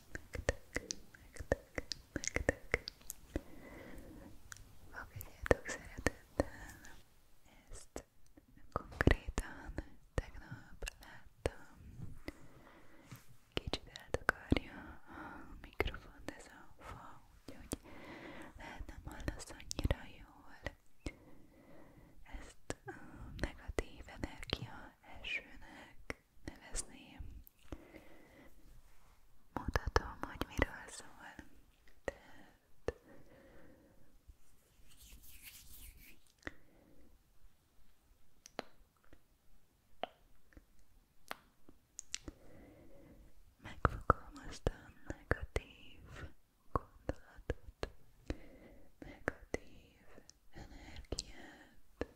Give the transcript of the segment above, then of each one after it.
nektek, nektek, nektek. Fogadjátok szeretettel. Ezt konkrétan tegnap láttam. Kicsit eltakarja a mikrofont ez a fa, úgyhogy lehet nem hallasz annyira jól. Ezt a negatív energia elsőnek nevezném. Mutatom, hogy miről szól. Tehát megfogalmazta a negatív gondolatot, negatív energiát,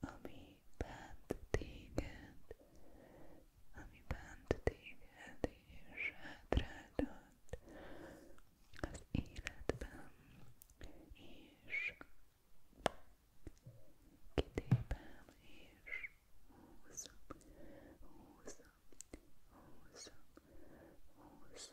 ami bent téged, ami bent téged és hátráltat az életben, és kitépem, és húzom, húzom, húzom, húzom ezt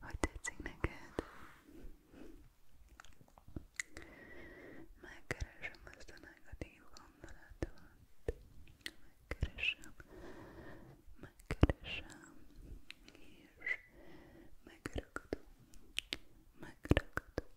Hogy tetszik neked? Megkeresem azt a negatív gondolatot. Megkeresem, megkeresem, és megragadom, megragadom,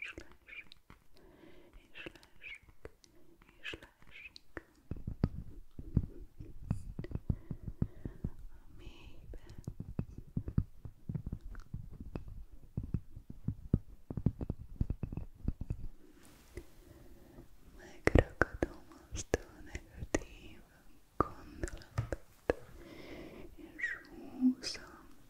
és leesik, és leesik, és leesik. A mélybe. Megragadom azt a negatív gondolatot, és húzom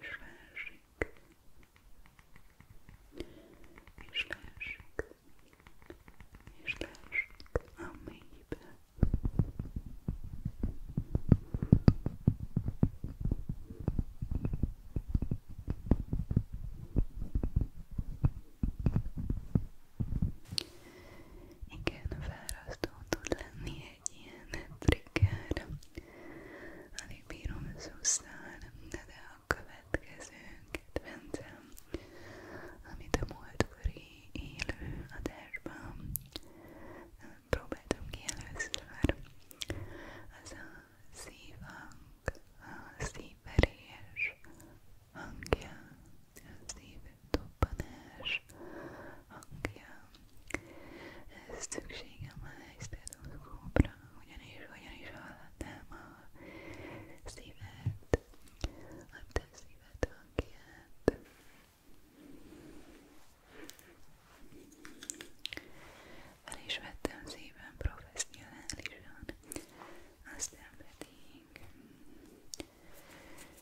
és felsik, és felsik, és felsik a mélybe. Igen, felrasztó tud lenni egy ilyen trigger. Alig bírom szusztán, de, de a következő kedvencem, amit a múltkori élő adásban próbáltam ki először, az a szívhang, a szívverés hangja, a szívdobbanás hangja szükségem van egy stetoszkópra, ugyanis, ugyanis hallatnám a szívet, a te szíved hangját. Fel is vettem szépen professzionálisan, aztán pedig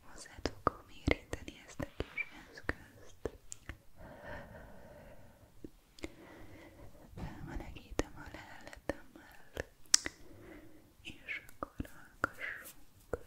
hozzád fogom érinteni ezt a kis eszközt. Felmenekítem a leheletemmel, és akkor hallgassunk. Hallgassunk.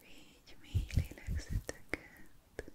Végy mély lélegzeteket. Most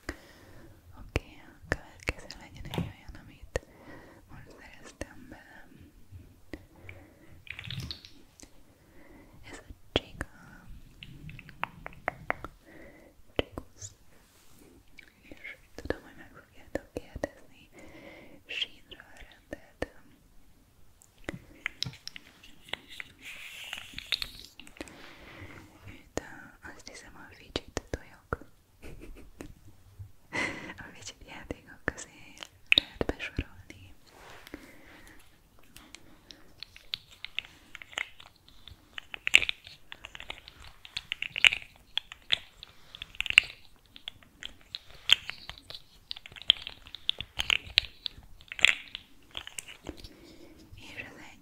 Oké, okay, a következő legyen egy olyan, amit most szereztem be. Ez a Csiga. Csigusz. És tudom, hogy meg fogjátok kérdezni. Sínra rendeltem. Itt a azt hiszem a fidget tojok. a fidget játékok közé lehet besorolni. És ez egy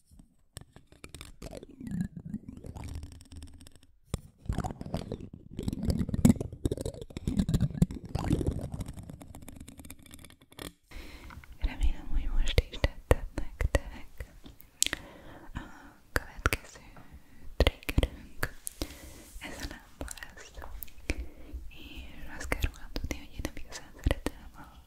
Remélem, hogy most is tetszett nektek. A következő triggerünk ez a lámpa lesz. És azt kell rólam tudni, hogy én nem igazán szeretem a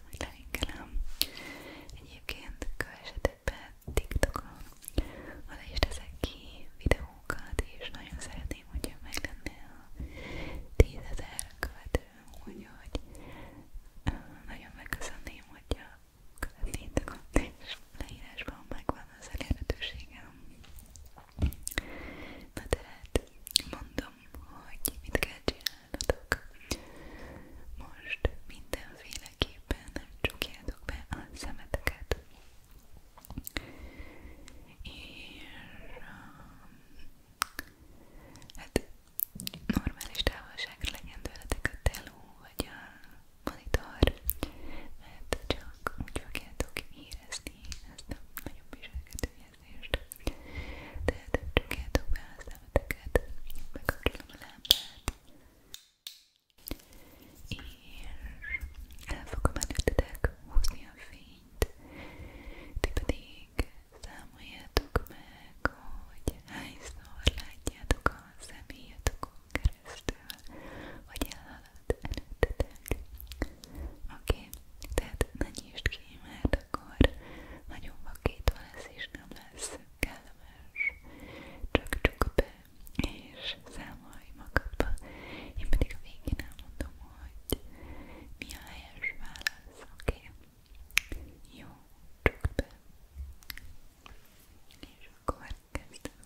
ezt majd lelinkelem. Egyébként kövessetek be TikTokon, oda is teszek ki videókat, és nagyon szeretném, hogyha meg lenne a 10.000 követő, úgyhogy nagyon megköszönném, hogyha követnétek a leírásban megvan az elérhetőségem. Na tehát mondom, hogy mit kell csinálni ajánlatok. Most mindenféleképpen csukjátok be a szemeteket. És um, hát normális távolságra legyen tőletek a teló vagy a monitor, mert csak úgy fogjátok érezni ezt a nagyobb viselkedő elnézést. Tehát csak eltök be a szemeteket, megkapcsolom a lámpát, és el fogom előttetek húzni a fényt. Ti pedig számoljátok meg, hogy hányszor látjátok a személyatokon keresztül, hogy elhalad előttetek. Oké? Okay. Tehát ne nyisd ki, mert akkor nagyon vakítva lesz és nem lesz kellemes. Csak csukd be és számolj magadba. Én pedig a végén elmondom, hogy mi a helyes válasz, oké? Okay? Jó, csukd be. És akkor kezdem.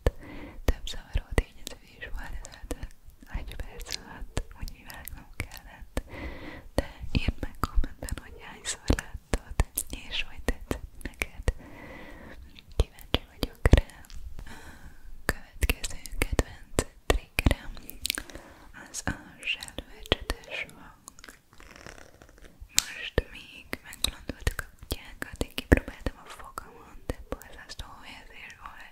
alatt több zavaró tényező is volt, ezért egy perc alatt úgy vágnom kellett, de írd meg kommentben, hogy hányszor láttad, és hogy tetszett neked. Kíváncsi vagyok rá. Következő kedvenc triggerem az a zselvecsetes hang. Most még megbolondultak a kutyákat, én kipróbáltam a fogamon, de borzasztó érzés volt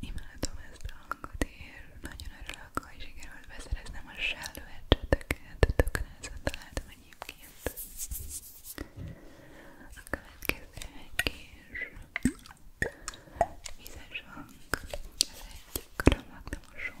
Imádom ezt a hangot, és nagyon örülök, hogy sikerült beszereznem a sellőecseteket, tökrászat találtam egyébként. A következő egy kis vizes hang, ez egy karamaktamosó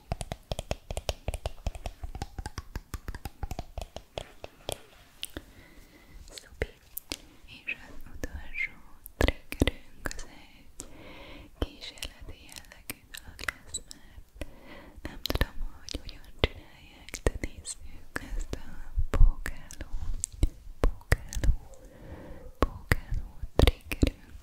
Szupi. És az utolsó triggerünk az egy kísérleti jellegű dolog lesz, mert nem tudom, hogy hogyan csinálják, de nézzük ezt a pókáló, pókáló, pókáló triggerünk.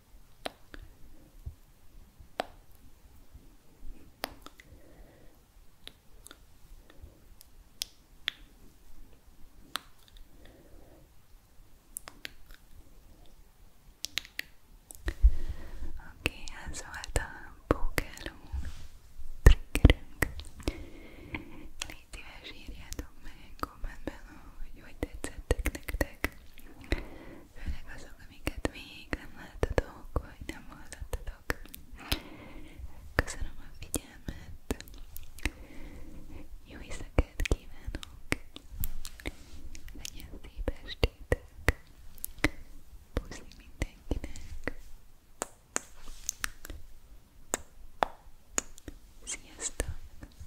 Oké, okay, ez volt a pókeló triggerünk. Légy szíves, írjátok meg, kommentben, hogy hogy tetszettek nektek, főleg azok, amiket még nem láttatok, vagy nem hallottatok. Köszönöm a figyelmet, jó éjszakát kívánok, legyen szép estétek, puszi mindenkinek, sziasztok!